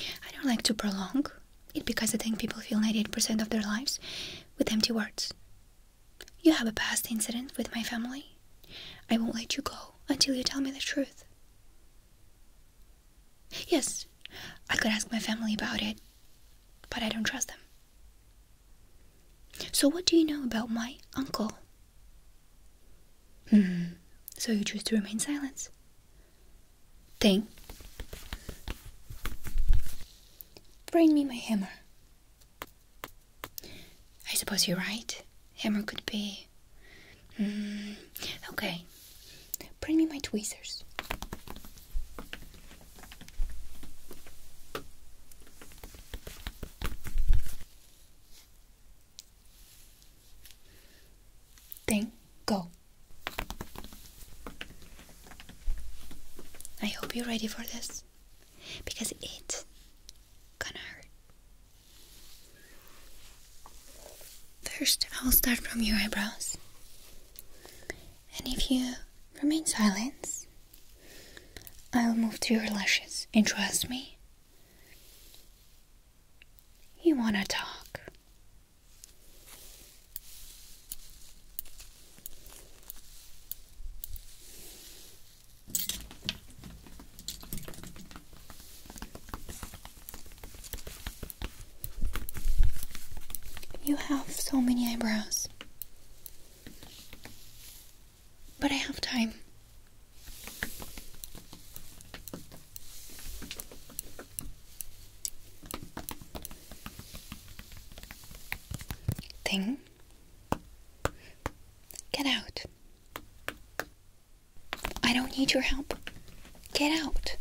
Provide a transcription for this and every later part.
I don't like to prolong it because I think people fill 98% of their lives with empty words. You have a past incident with my family. I won't let you go until you tell me the truth. Yes, I could ask my family about it, but I don't trust them. So, what do you know about my uncle? Hmm, so you choose to remain silent. Thing. Bring me my hammer. I suppose you're right. Hammer could be. Hmm, okay. Bring me my tweezers. Then go. I hope you're ready for this because it's gonna hurt. First, I'll start from your eyebrows. And if you remain silent, I'll move to your lashes. And trust me, you want to talk. You have so many eyebrows. But I have time. Thing. Get out. I don't need your help. Get out.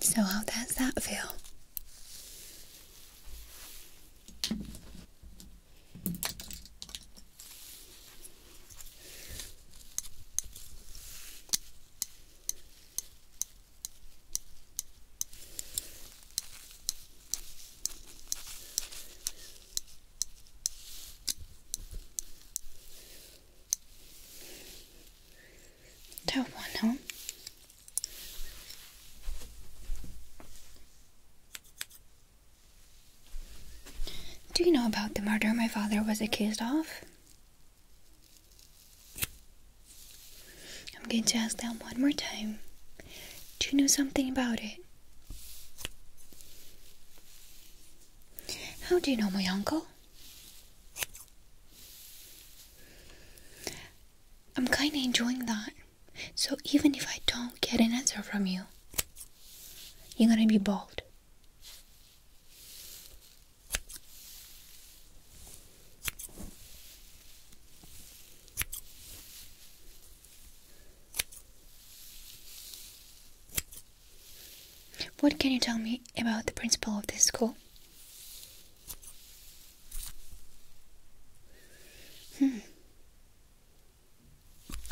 So, how does that feel? Don't want to do you know about the murder my father was accused of? I'm going to ask them one more time. Do you know something about it? How do you know my uncle? I'm kinda enjoying that. So even if I don't get an answer from you, you're gonna be bald. What can you tell me about the principal of this school? Hmm.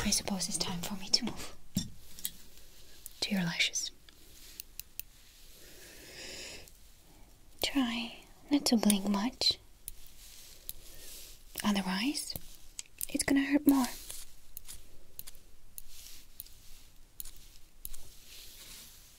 I suppose it's time for me to move to your lashes. Try not to blink much, otherwise, it's gonna hurt more.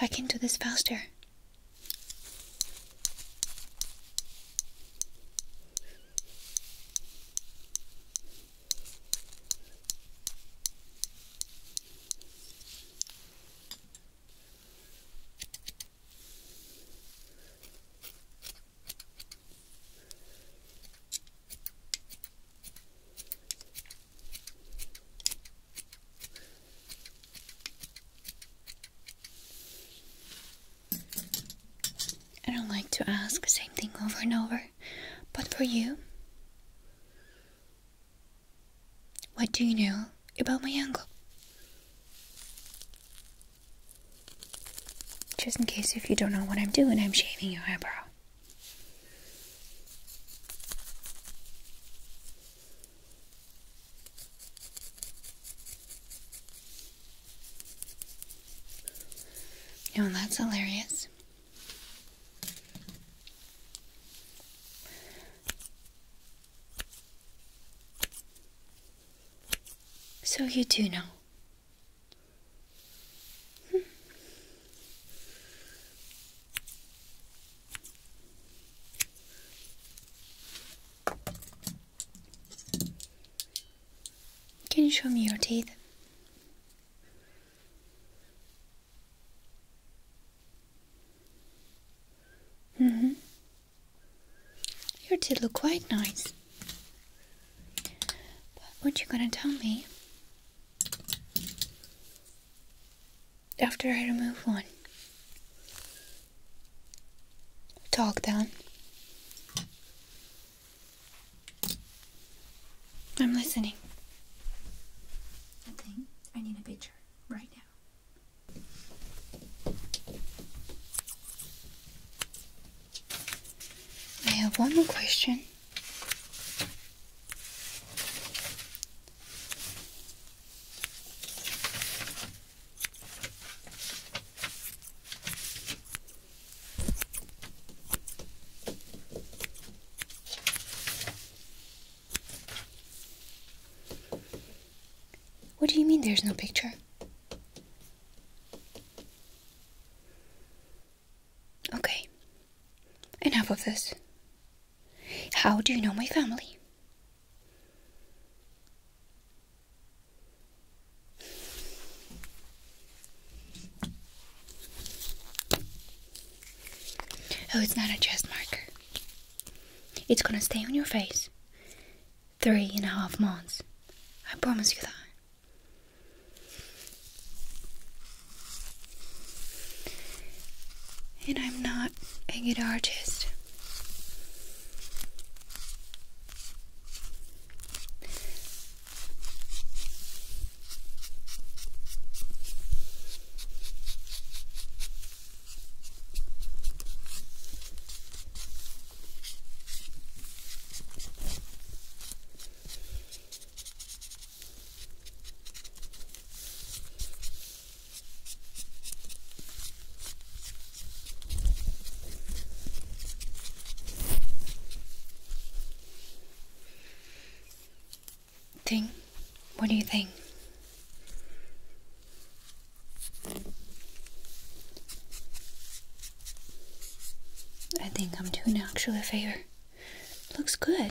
I can do this faster. I don't like to ask the same thing over and over, but for you, what do you know about my uncle? Just in case if you don't know what I'm doing, I'm shaving your eyebrow. You know, that's hilarious. So you do know. Hmm. Can you show me your teeth? Mm-hmm. Your teeth look quite nice. But what you gonna tell me? after I remove one. Talk down. I'm listening. I think I need a picture right now. I have one more question. What do you mean there's no picture? Okay. Enough of this. How do you know my family? Oh, it's not a chest marker. It's gonna stay on your face three and a half months. I promise you that and I'm not a good artist. Think, what do you think? I think I'm doing actually a favor. Looks good.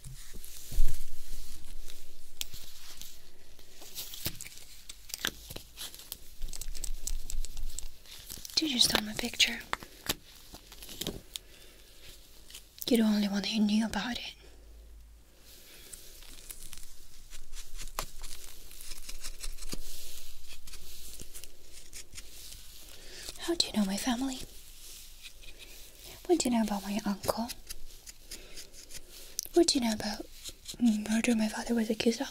Did you steal my picture? You're the only one who knew about it. How do you know my family? What do you know about my uncle? What do you know about murder my father was accused of?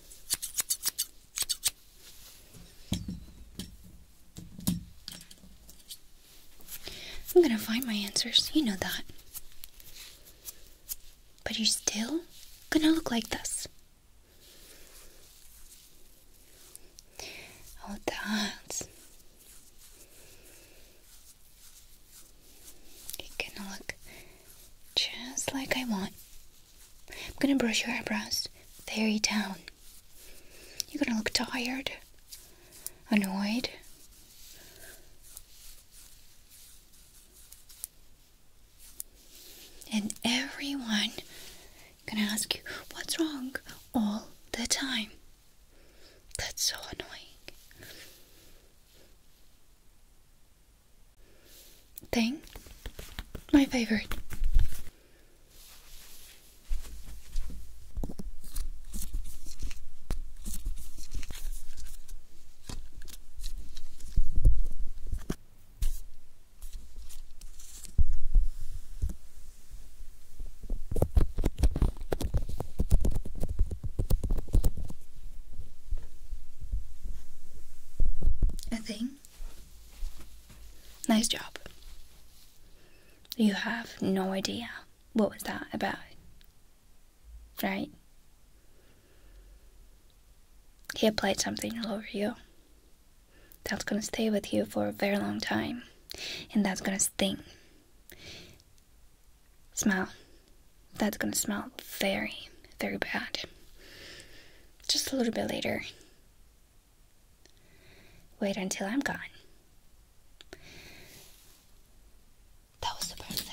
I'm gonna find my answers, you know that. But you're still gonna look like this. Oh, that. You're gonna look just like I want. I'm gonna brush your eyebrows very down. You're gonna look tired, annoyed. And everyone gonna ask you what's wrong all the time. That's so annoying thing. My favorite. A thing? Nice job. You have no idea what was that about, right? He applied something all over you. That's gonna stay with you for a very long time, and that's gonna sting. Smile. That's gonna smell very, very bad. Just a little bit later. Wait until I'm gone. That was the first though.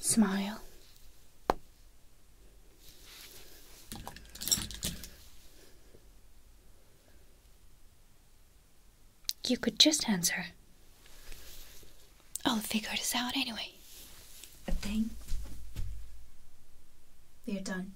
Smile. You could just answer. I'll figure this out anyway. A thing? we are done.